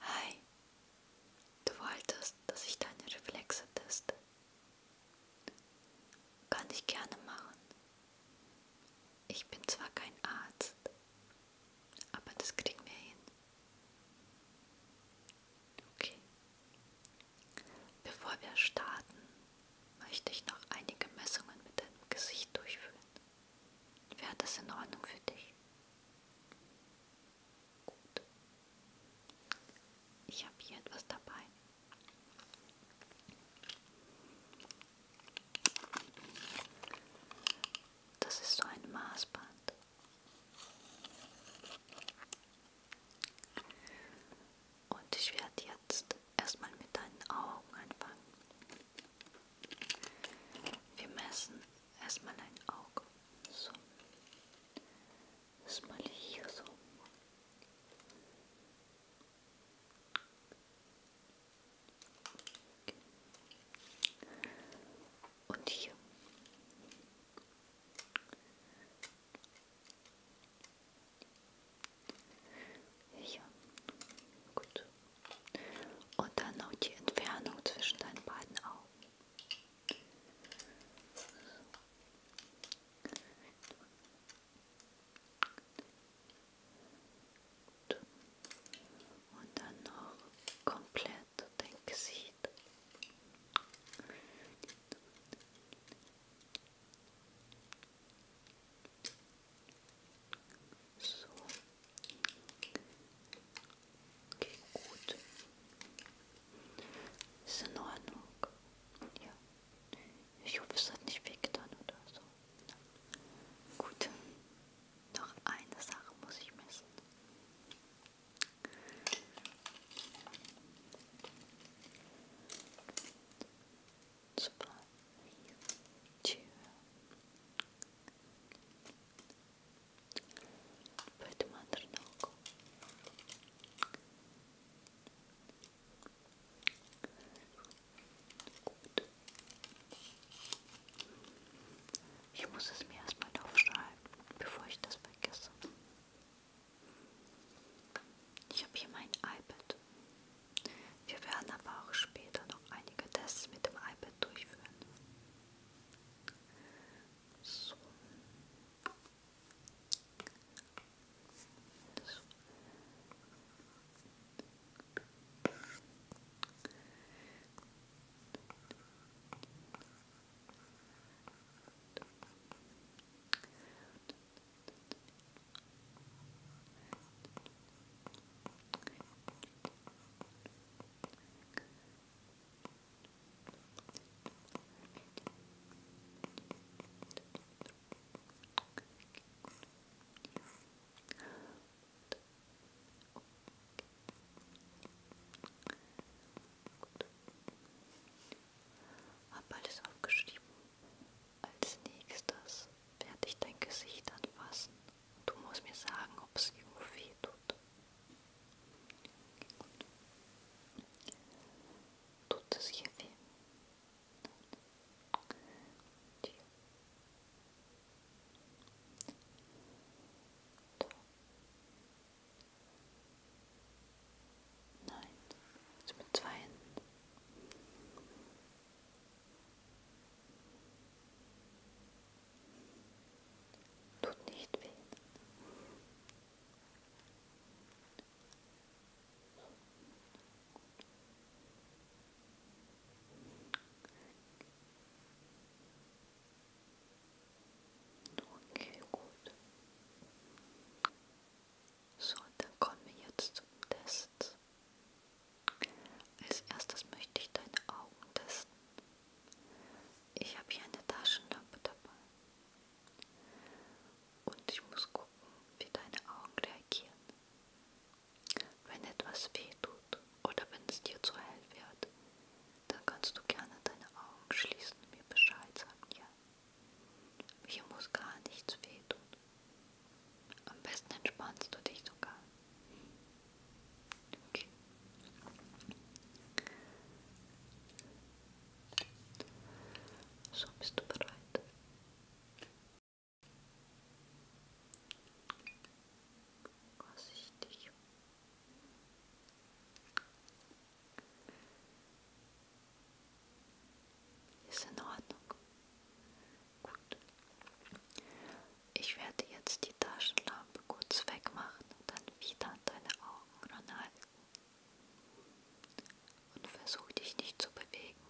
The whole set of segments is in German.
Hi, du wolltest, dass ich deine Reflexe teste. Kann ich gerne machen. Ich bin zwar kein Arzt, aber das kriegen wir hin. Okay. Bevor wir starten, möchte ich noch einige Messungen mit deinem Gesicht durchführen. Wäre das in Ordnung für dich? Gut. Ich habe hier etwas dabei. Das ist so ein Maßband. Und ich werde jetzt erstmal mit deinen Augen anfangen. Wir messen erstmal ein Auge. So. Erstmal hier so. Und hier. Hier. Gut. Und dann noch die Entfernung zwischen deinen beiden Augen. Und dann noch komplett dein Gesicht. So. Okay, gut. Ist in Ordnung. Ja. Ich hoffe, es hat nicht wehgetan oder so. Ja. Gut. Noch eine Sache muss ich messen. Zwei, vier, Поэтому одну ногу. Gut. Ich muss es mir erstmal aufschreiben, bevor ich das vergesse. Ich habe hier mein iPad. Wir werden aber auch später noch einige Tests mit dem iPad durchführen. So. so. Okay. Hab alles aufgeschrieben. Als nächstes werde ich dein Gesicht anfassen Du musst mir sagen, ob es irgendwo weh tut. Gut. Tut es hier weh? Nein. Hier. Da. Nein. Jetzt mit zwei Händen. Tut nicht weh. Okay, gut. So, dann kommen wir jetzt zum Test. Herz. Als erstes möchte ich deine Augen testen. Ich habe hier eine Taschenlampe dabei. Und ich muss gucken, wie deine Augen reagieren. Wenn etwas weh tut oder wenn es dir zu hell wird, dann kannst du gerne deine Augen schließen und mir Bescheid sagen, ja. Hier muss gar nichts weh tun. Am besten entspannst du dich sogar. Okay. So bist du bereit. Vorsichtig. Ist in Ordnung. Gut. Ich werde jetzt die Taschenlampe kurz wegmachen und dann wieder deine Augen ranhalten. Und versuch dich nicht zu bewegen.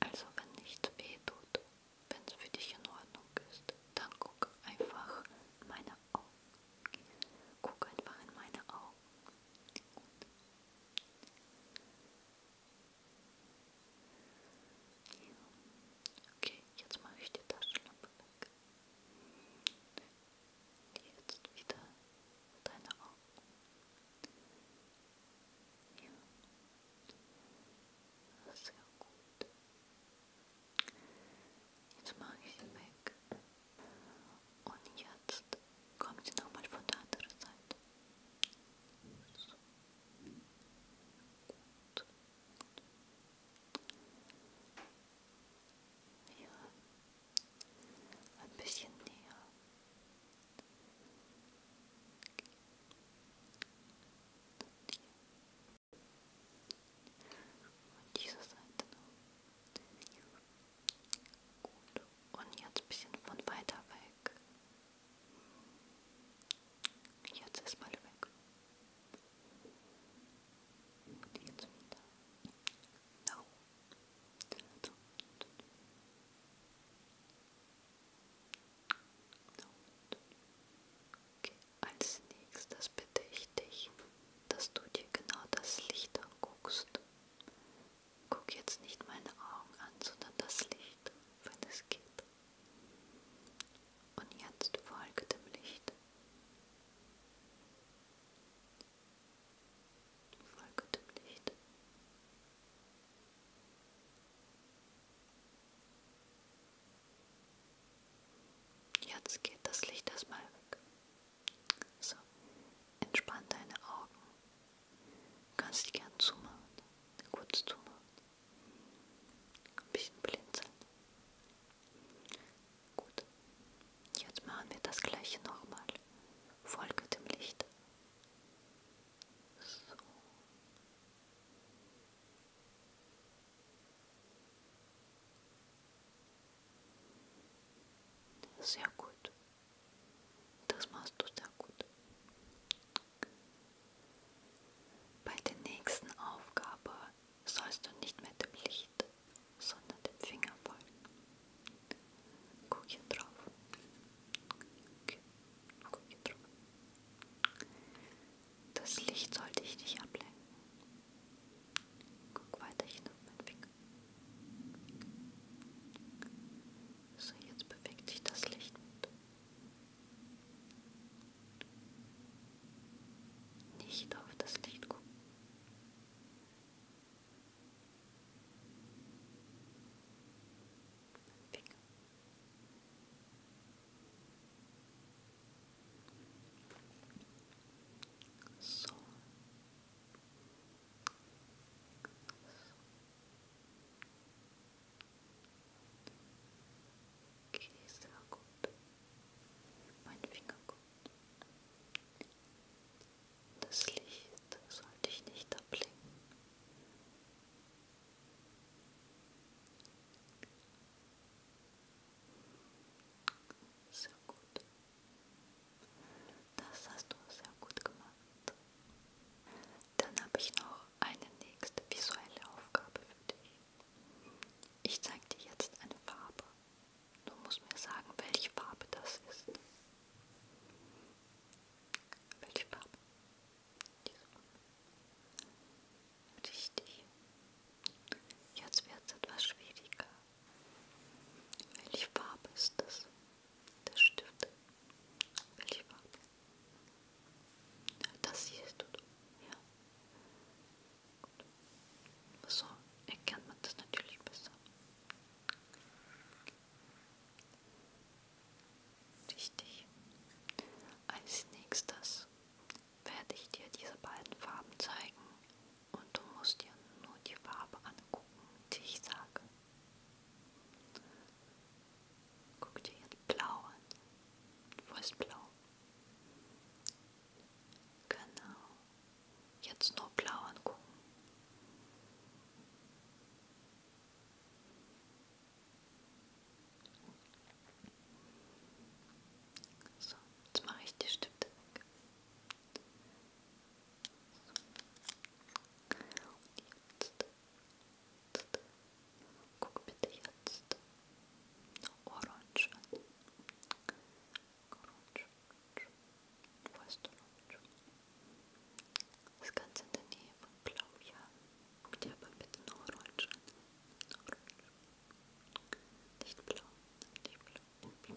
Also wenn nichts weh tut, wenn es für dich in Ordnung ist, dann guck einfach in meine Augen. Guck einfach in meine Augen. Gut. Okay, jetzt mache ich die Taschenlampe weg. Jetzt wieder deine Augen. Ja, sehr gut. Jetzt mache ich sie weg. Und jetzt kommt sie nochmal von der anderen Seite. Ja, ein bisschen näher. Und diese Seite noch. Gut. Und jetzt ein bisschen von weiter weg. Jetzt ist mal weg. Und jetzt wieder. No. No. Okay. Als nächstes bitte ich dich, dass du dir genau das Licht anguckst, Guck jetzt nicht meine Augen an, sondern das Licht, wenn es geht. Und jetzt folge dem Licht. Folge dem Licht. Jetzt geht das Licht erstmal weg. So, entspann deine Augen Du kannst dich gern zumachen, kurz zumachen. Ein bisschen blinzeln. Gut. Jetzt machen wir das gleiche nochmal. Folge dem Licht. So. Sehr gut. Das machst du sehr gut. Bei der nächsten Aufgabe sollst du nicht mehr dem Licht, sondern dem Finger folgen. Guck hier drauf. Okay. Guck hier drauf. Das Licht sollte ich nicht ablenken. Guck weiterhin auf meinen Finger. So, jetzt bewegt sich das Licht mit. Nicht auf das Licht gucken. Finger. So. So. Okay, sehr gut. Mein Finger gut. Das Licht sollte ich nicht ablenken. Sehr gut. Das hast du sehr gut gemacht. Dann habe ich noch eine nächste visuelle Aufgabe für dich. Ich zeige dir jetzt eine Farbe. Du musst mir sagen, welche Farbe das ist. Welche Farbe? Diese Farbe. Richtig. Jetzt wird es etwas schwieriger. Welche Farbe ist das? Das Stift. Welche Farbe? Das hier ist gut. Ja. Gut. So erkennt man das natürlich besser. Richtig. Als nächstes werde ich dir diese beiden Farben zeigen und du musst dir nur die Farbe angucken, die ich sage. Guck dir jetzt blau an. Wo ist blau? Genau. Jetzt nur blau angucken. So, jetzt mache ich die Stifte weg. jetzt, jetzt, guck bitte jetzt, orange an, orange, wo Das ist ganz in der Nähe von guck dir bitte nur orange nicht blau, nicht blau.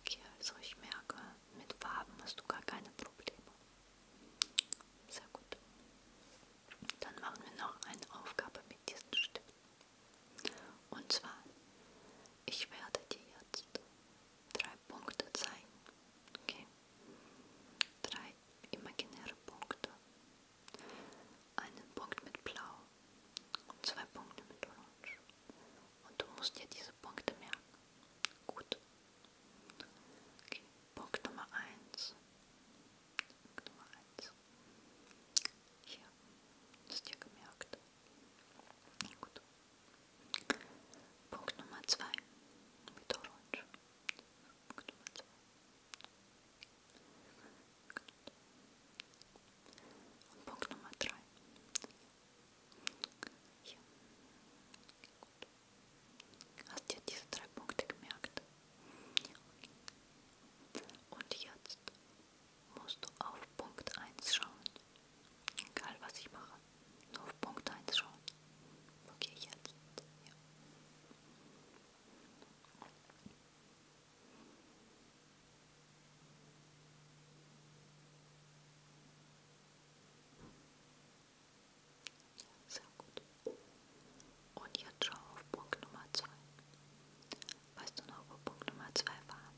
Okay, also ich merke, mit Farben hast du gar keine Probleme. Sehr gut. Dann machen wir noch eine Aufgabe mit diesen Stiften. Und zwar, ich werde dir jetzt drei Punkte zeigen. Okay? Drei imaginäre Punkte. Einen Punkt mit Blau, und zwei Punkte mit Orange. Und du musst dir diese Punkte merken. Gut. Okay, Punkt Nummer 1. Punkt Nummer 1. Hier, ist dir gemerkt. Gut. Punkt Nummer 2 mit Orange. Punkt Nummer 2. Und Punkt Nummer 3. Hier. Gut. Hast dir diese drei Punkte gemerkt? Und jetzt musst du auf Punkt 1 schauen. Egal was ich mache. Nur auf Punkt 1 schauen. Okay, jetzt. Ja. Sehr gut. Und jetzt schau auf Punkt Nummer 2. Weißt du noch, wo Punkt Nummer 2 war?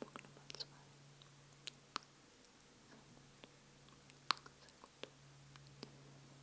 Punkt Nummer 2. Sehr gut. Sehr gut.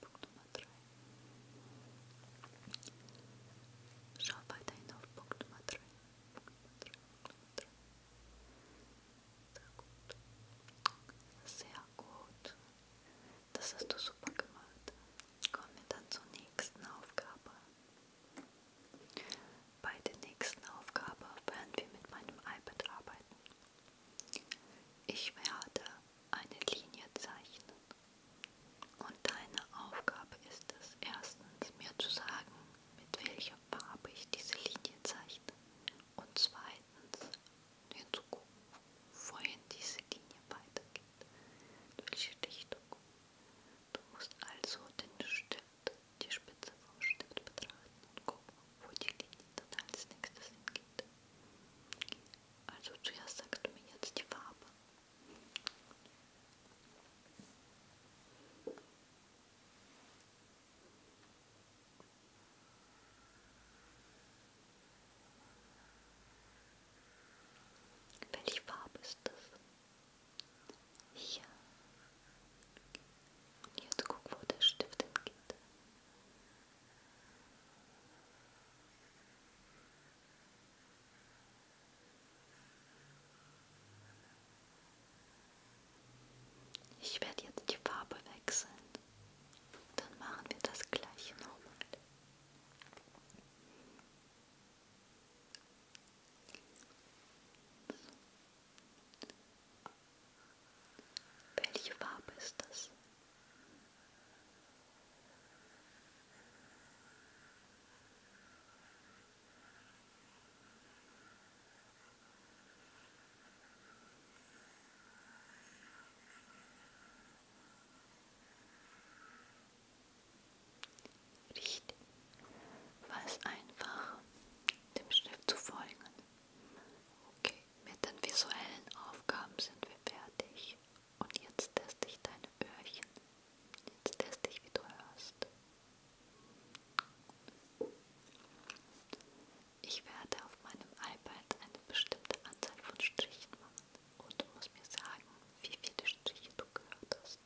Punkt Nummer 3. Schau weiterhin auf Punkt Nummer 3. Punkt Nummer 3, Punkt Nummer 3. Sehr gut. Sehr gut. Das hast du super gemacht. Kommen wir dann zur nächsten Aufgabe. Bei der nächsten Aufgabe werden wir mit meinem iPad arbeiten. Ich werde eine Linie zeichnen. Und deine Aufgabe ist es, erstens mir zu sagen, mit welcher Farbe ich diese Linie zeichne. Und zweitens hinzugucken, wohin diese Linie weitergeht, in welche Richtung. Du musst also den Stift, die Spitze vom Stift betrachten und gucken, wo die Linie dann als nächstes hingeht. Also zuerst sagst du mir jetzt die Farbe welche Farbe ist das? Hier. Und jetzt guck, wo der Stift hingeht. Ich werde jetzt die Farbe wechseln. Dann machen wir das gleiche nochmal. Welche Farbe ist das? Riecht, was einfach dem Schrift zu folgen. Okay, mit den visuellen Aufgaben sind wir fertig. Und jetzt teste ich deine Öhrchen. Jetzt teste ich, wie du hörst. Ich werde auf meinem iPad eine bestimmte Anzahl von Strichen machen und du musst mir sagen, wie viele Striche du gehört hast.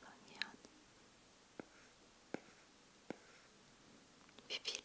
Fang hier an. Wie viele?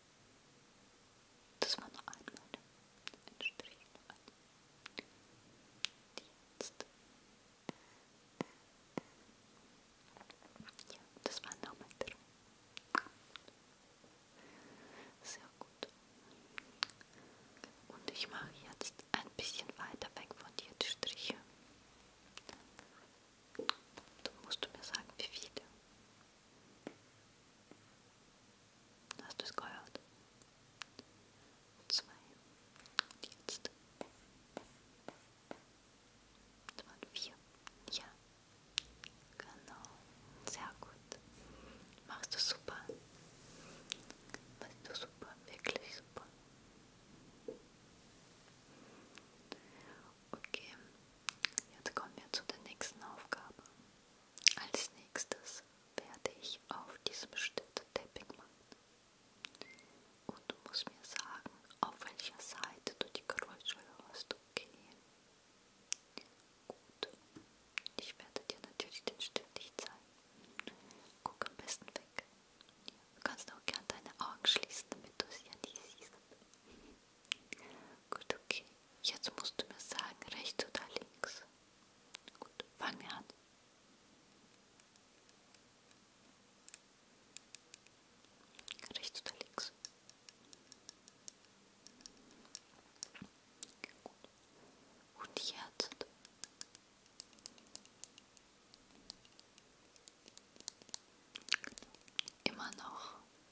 Das war nur einmal ein Strich. Jetzt. Ja, das war nochmal drin. Sehr gut. Und ich mache jetzt ein bisschen weiter weg von dir die Striche. Dann musst du mir sagen, wie viele. Hast du es gehört? Zwei. Und jetzt. Das waren vier. Ja. Genau. Sehr gut. Machst du super. Machst du super. Wirklich super. Okay, jetzt kommen wir zu der nächsten Aufgabe. Als nächstes werde ich auf diesem bestimmten Teppich machen. Und du musst mir sagen, auf welcher Seite du die Geräusche hörst. Okay. Gut. Ich werde dir natürlich den Stift nicht zeigen. Guck am besten weg. Du kannst auch gern deine Augen schließen, damit du sie ja nicht siehst. Gut, okay. Jetzt musst du mir sagen, rechts oder links. Gut, fangen wir an. Rechts oder links. Gut. Und jetzt. Immer noch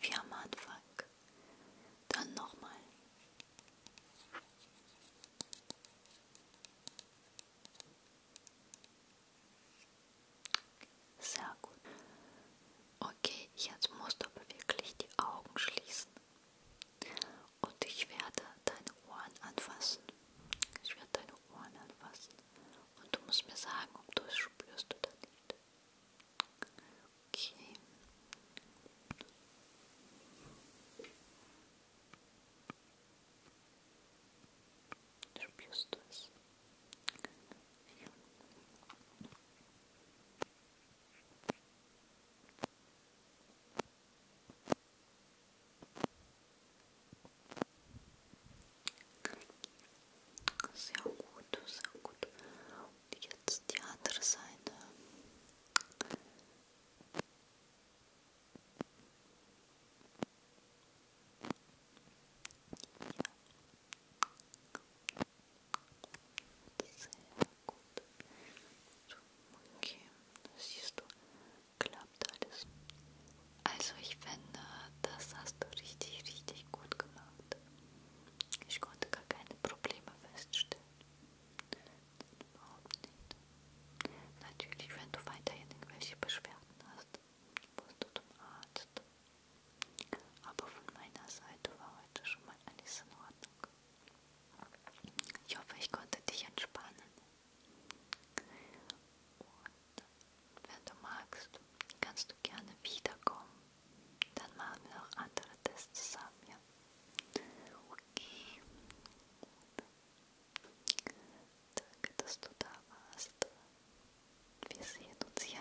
Wie am Anfang. Dann nochmal. Sehr gut. Okay, jetzt musst du aber wirklich die Augen schließen. Und ich werde deine Ohren anfassen. Ich werde deine Ohren anfassen und du musst mir sagen, ob du es spürst oder nicht. Okay. Spürst du es? Ja. Sehr gut, sehr gut. Und jetzt die andere Seite. Ja. Sehr gut. Okay, das siehst du klappt alles. Also ich finde, das hast du richtig, richtig gut gemacht. Ich konnte gar keine Probleme feststellen. Überhaupt nicht. Natürlich, wenn du weiterhin irgendwelche Beschwerden hast, musst du zum Arzt. Aber von meiner Seite war heute schon mal alles in Ordnung. Ich hoffe, ich konnte dich entspannen. Und wenn du magst, kannst du gerne wiederkommen. Dann machen wir noch andere Tests zusammen, ja? Okay. Danke, dass du da warst. Wir sehen uns ja.